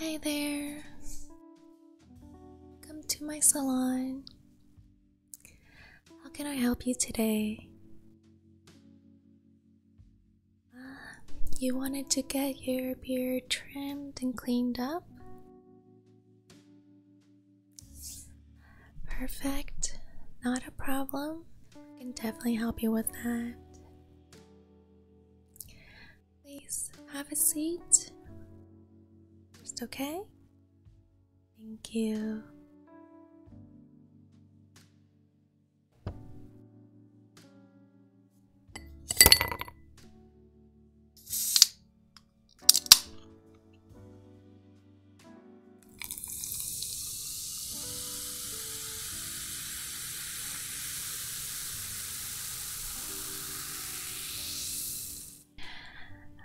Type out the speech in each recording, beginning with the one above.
Hi there. Come to my salon. How can I help you today? Uh, you wanted to get your beard trimmed and cleaned up? Perfect. Not a problem. I can definitely help you with that. Please have a seat. Just okay? Thank you.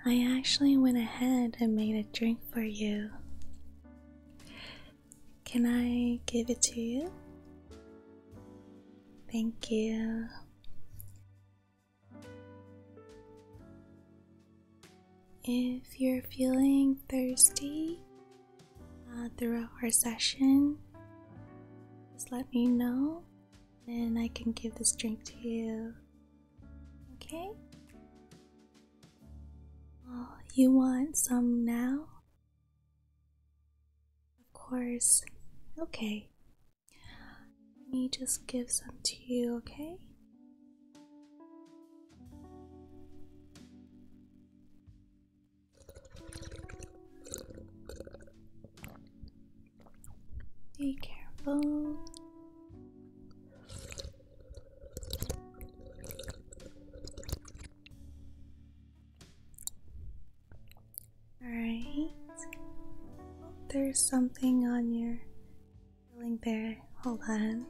I actually went ahead and made a drink for you. Can I give it to you? Thank you. If you're feeling thirsty, uh, throughout our session, just let me know and I can give this drink to you. Okay? you want some now? Of course. Okay. Let me just give some to you, okay? Be careful. Alright. There's something on your feeling there. Hold on.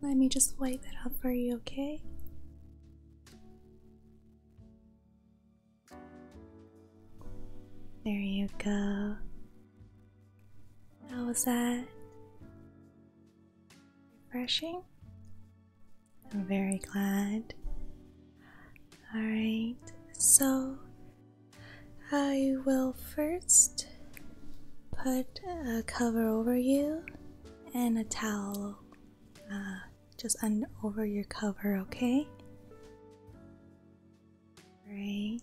Let me just wipe that off for you, okay? There you go. How was that? Refreshing? I'm very glad. Alright, so I will first put a cover over you and a towel uh, just un over your cover, okay? Great.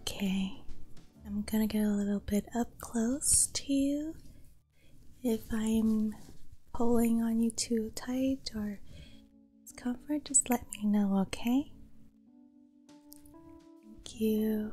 Okay, I'm gonna get a little bit up close to you. If I'm pulling on you too tight or it's uncomfortable, just let me know, okay? Thank you.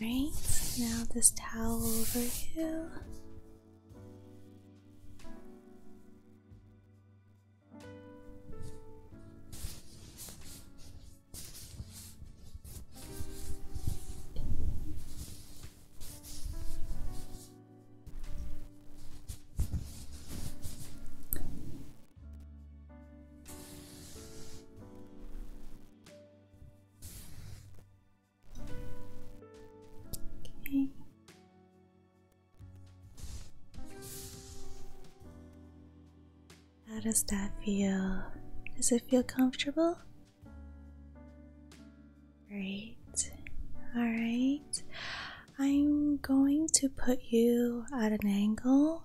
Alright, now this towel over you. Okay. How does that feel? Does it feel comfortable? Great. All right. I'm going to put you at an angle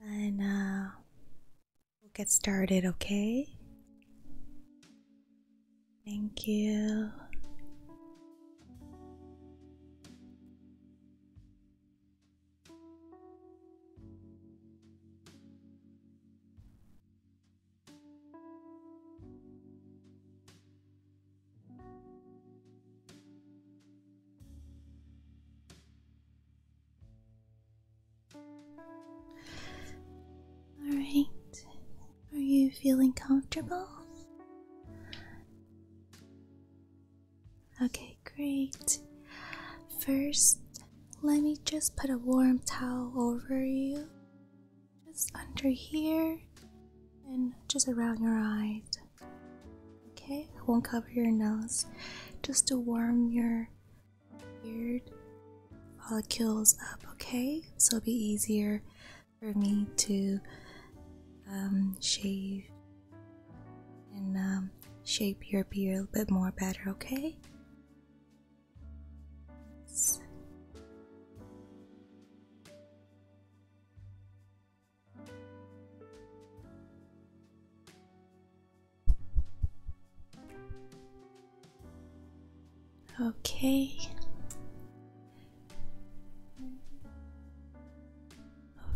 and uh, we'll get started, okay? Thank you. Alright, are you feeling comfortable? Okay, great. First, let me just put a warm towel over you, just under here, and just around your eyes. Okay, I won't cover your nose just to warm your beard follicles up. Okay, so it'll be easier for me to um, shave and um, shape your beard a little bit more better. Okay. Okay.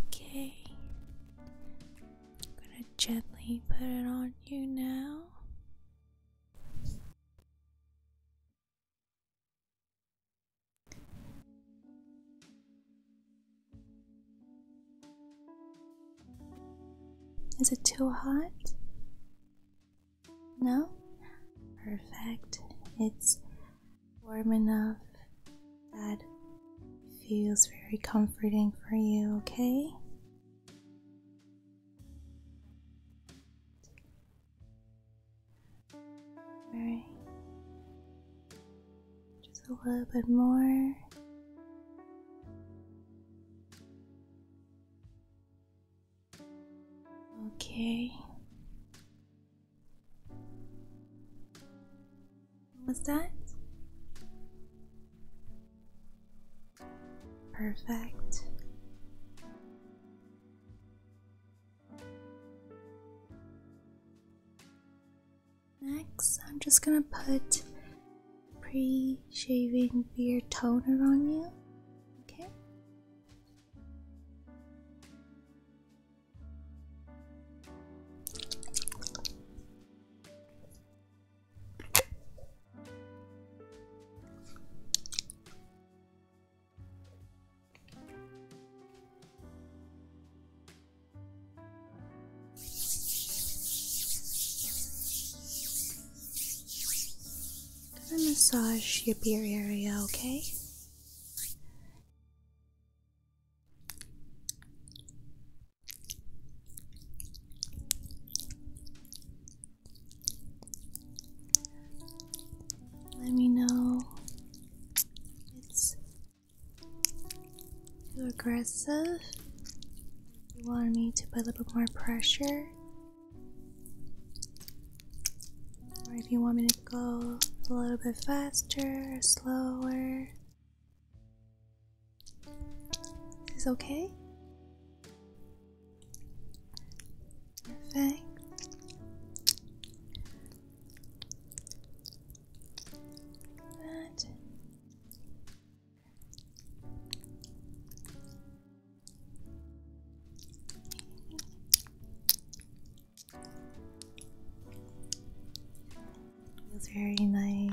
Okay. I'm gonna gently put it on you now. Is it too hot? No? Perfect. It's warm enough that feels very comforting for you, okay? Just a little bit more. Okay. What's that? Perfect. Next, I'm just gonna put pre shaving beard toner on you. Okay massage your beer area, okay? Let me know it's too aggressive. You want me to put a little bit more pressure, or if you want me to go a little bit faster or slower. Is okay? Perfect. That. Feels very nice.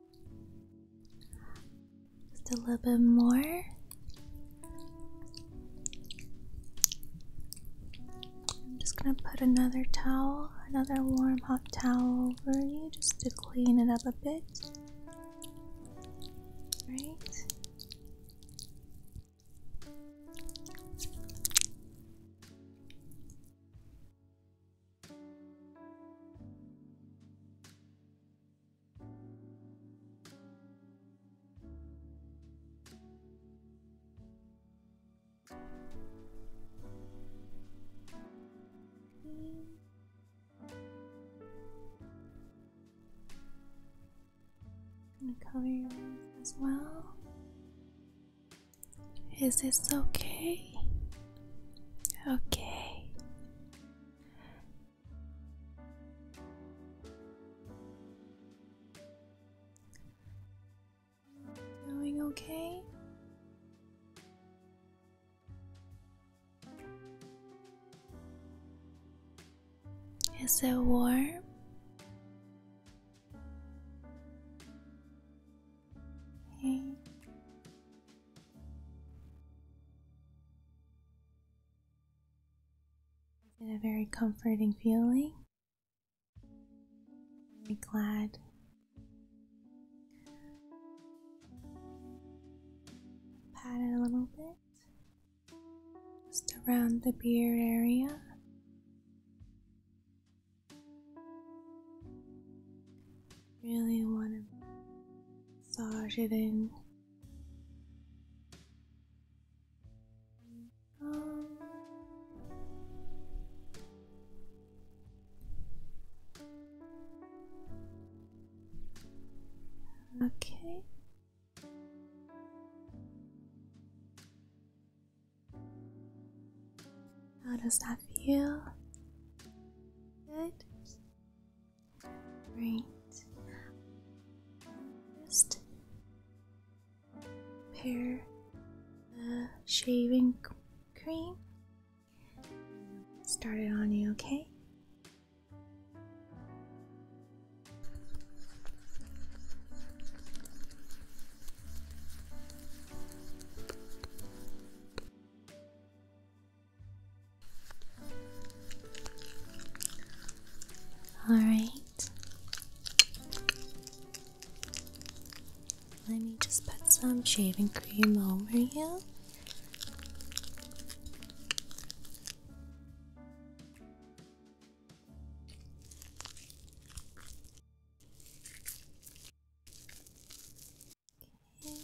Just a little bit more. I'm just gonna put another towel, another warm hot towel over you just to clean it up a bit. Right? I'm gonna cover your as well. Is this okay? Okay. Doing okay? Is it warm? Okay. It's a very comforting feeling. Very glad. Pat it a little bit, just around the beard area really want to massage it in. Um, okay. How does that feel? Good. Great. Just pair the shaving cream. Start it on you, okay? All right. Let me just put some shaving cream over you. Okay.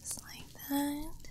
Just like that.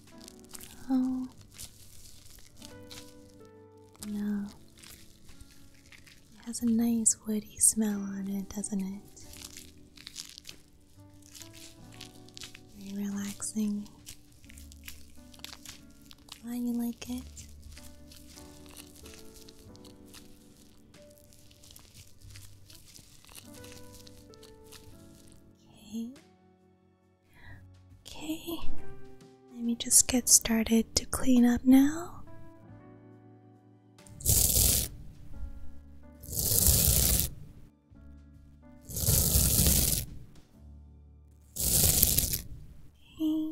Oh. No. It has a nice woody smell on it, doesn't it? Very relaxing. Why you like it? Okay. Okay, let me just get started to clean up now. Okay.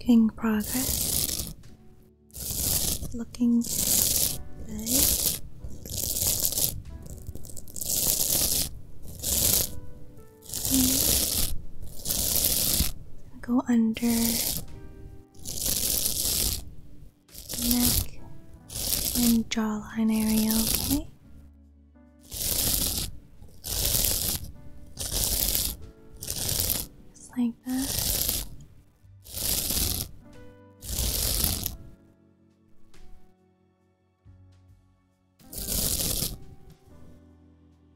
Making progress. Looking good. Go under neck and jawline area, okay? Just like that.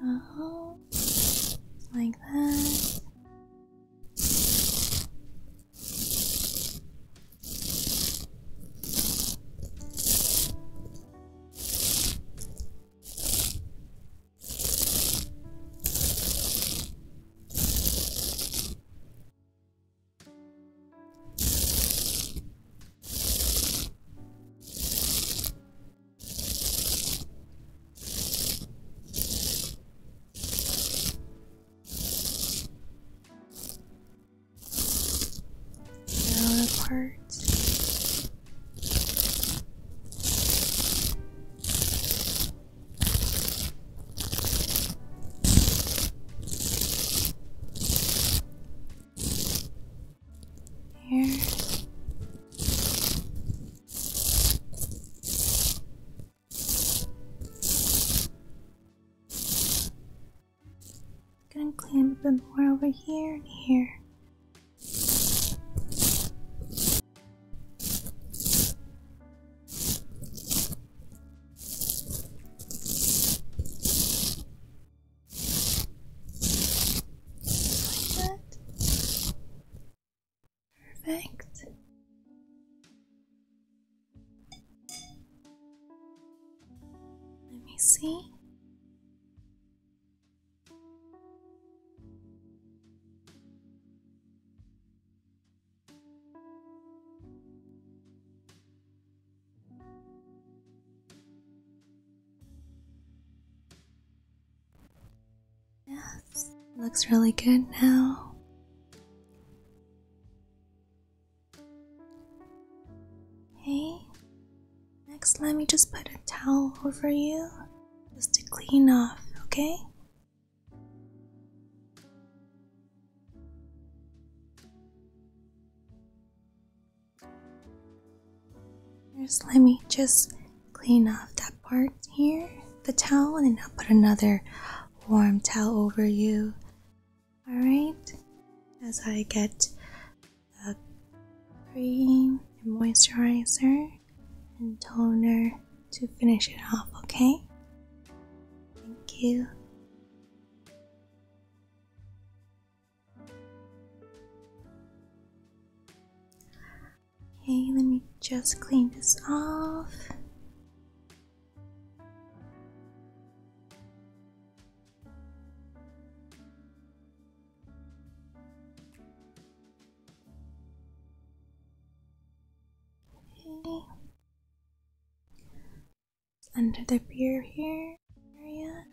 然后，like uh-huh. that。now the parts. Here. Gonna clean a bit more over here and here. Perfect. Let me see. Yes, looks really good now. Okay, next let me just put a towel over you just to clean off, okay? let me just clean off that part here, the towel, and I'll put another warm towel over you. Alright, as I get the cream and moisturizer and toner to finish it off, okay? Thank you. Okay, let me just clean this off. Okay under the beer here area.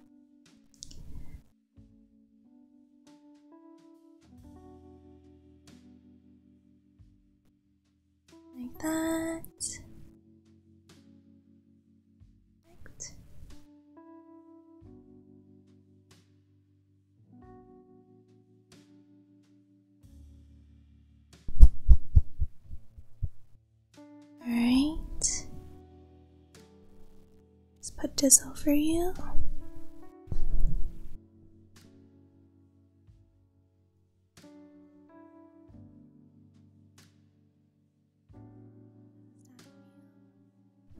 Like that. Perfect. All right. Let's put this over you.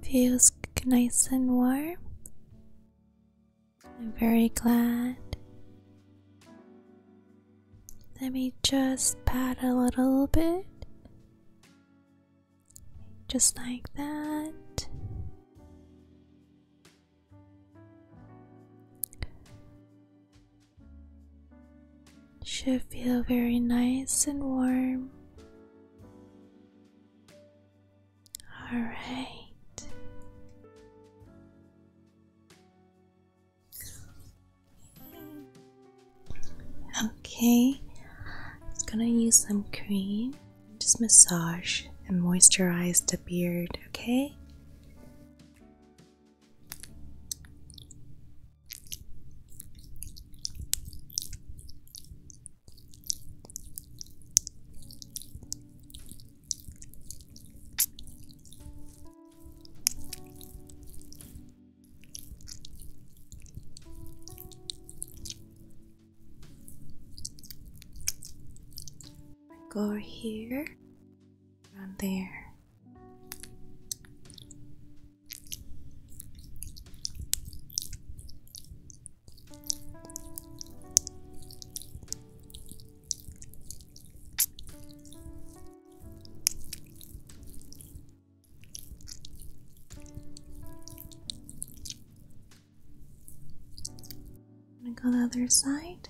Feels nice and warm. I'm very glad. Let me just pat a little bit. Just like that. Should feel very nice and warm. All right. Okay. It's gonna use some cream. Just massage and moisturize the beard, okay? Go here and there. I'm gonna go the other side.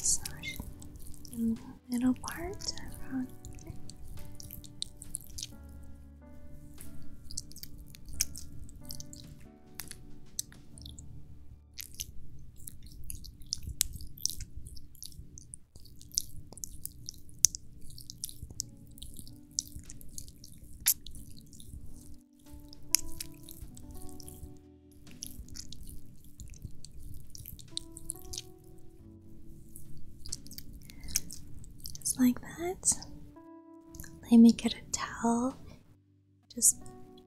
massage the middle part around here. Just like that. Let me get a towel. Just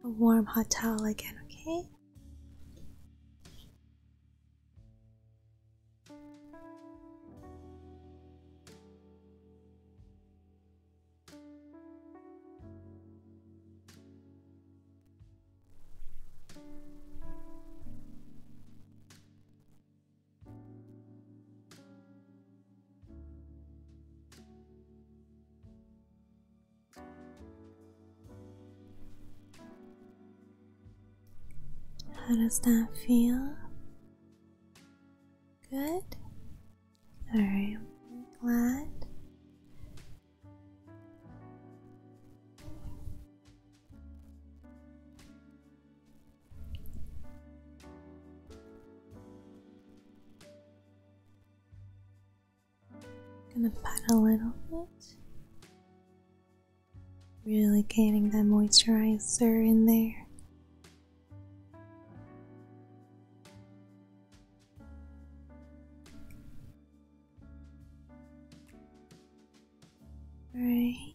a warm hot towel again, okay? How does that feel? Good. Alright, I'm glad. Gonna pat a little bit. Really getting that moisturizer in there. Right.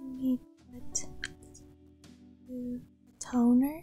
We put mm, toner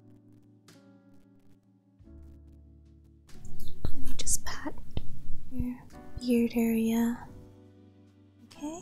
Let me just pat your beard area. Okay.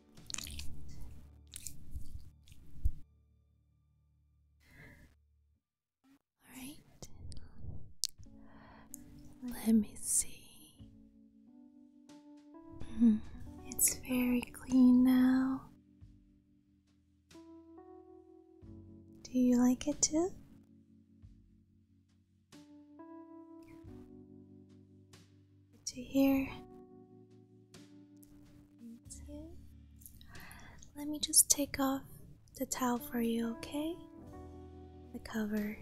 All right. Let me see. Hmm, it's very clean now. Do you like it too? to here. Let me just take off the towel for you, okay? The cover.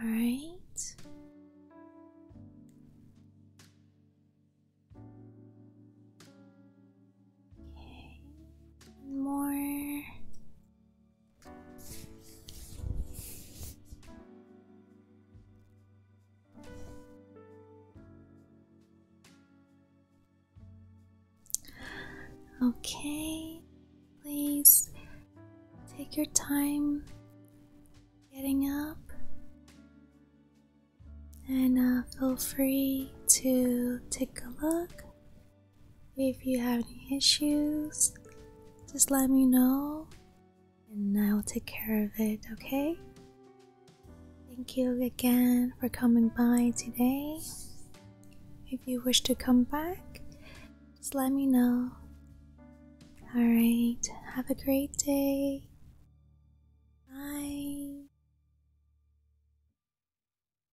All right. Okay. more. Okay, please take your time getting up and uh, feel free to take a look if you have any issues, just let me know and I will take care of it, okay? Thank you again for coming by today. If you wish to come back, just let me know. Alright, have a great day. Bye.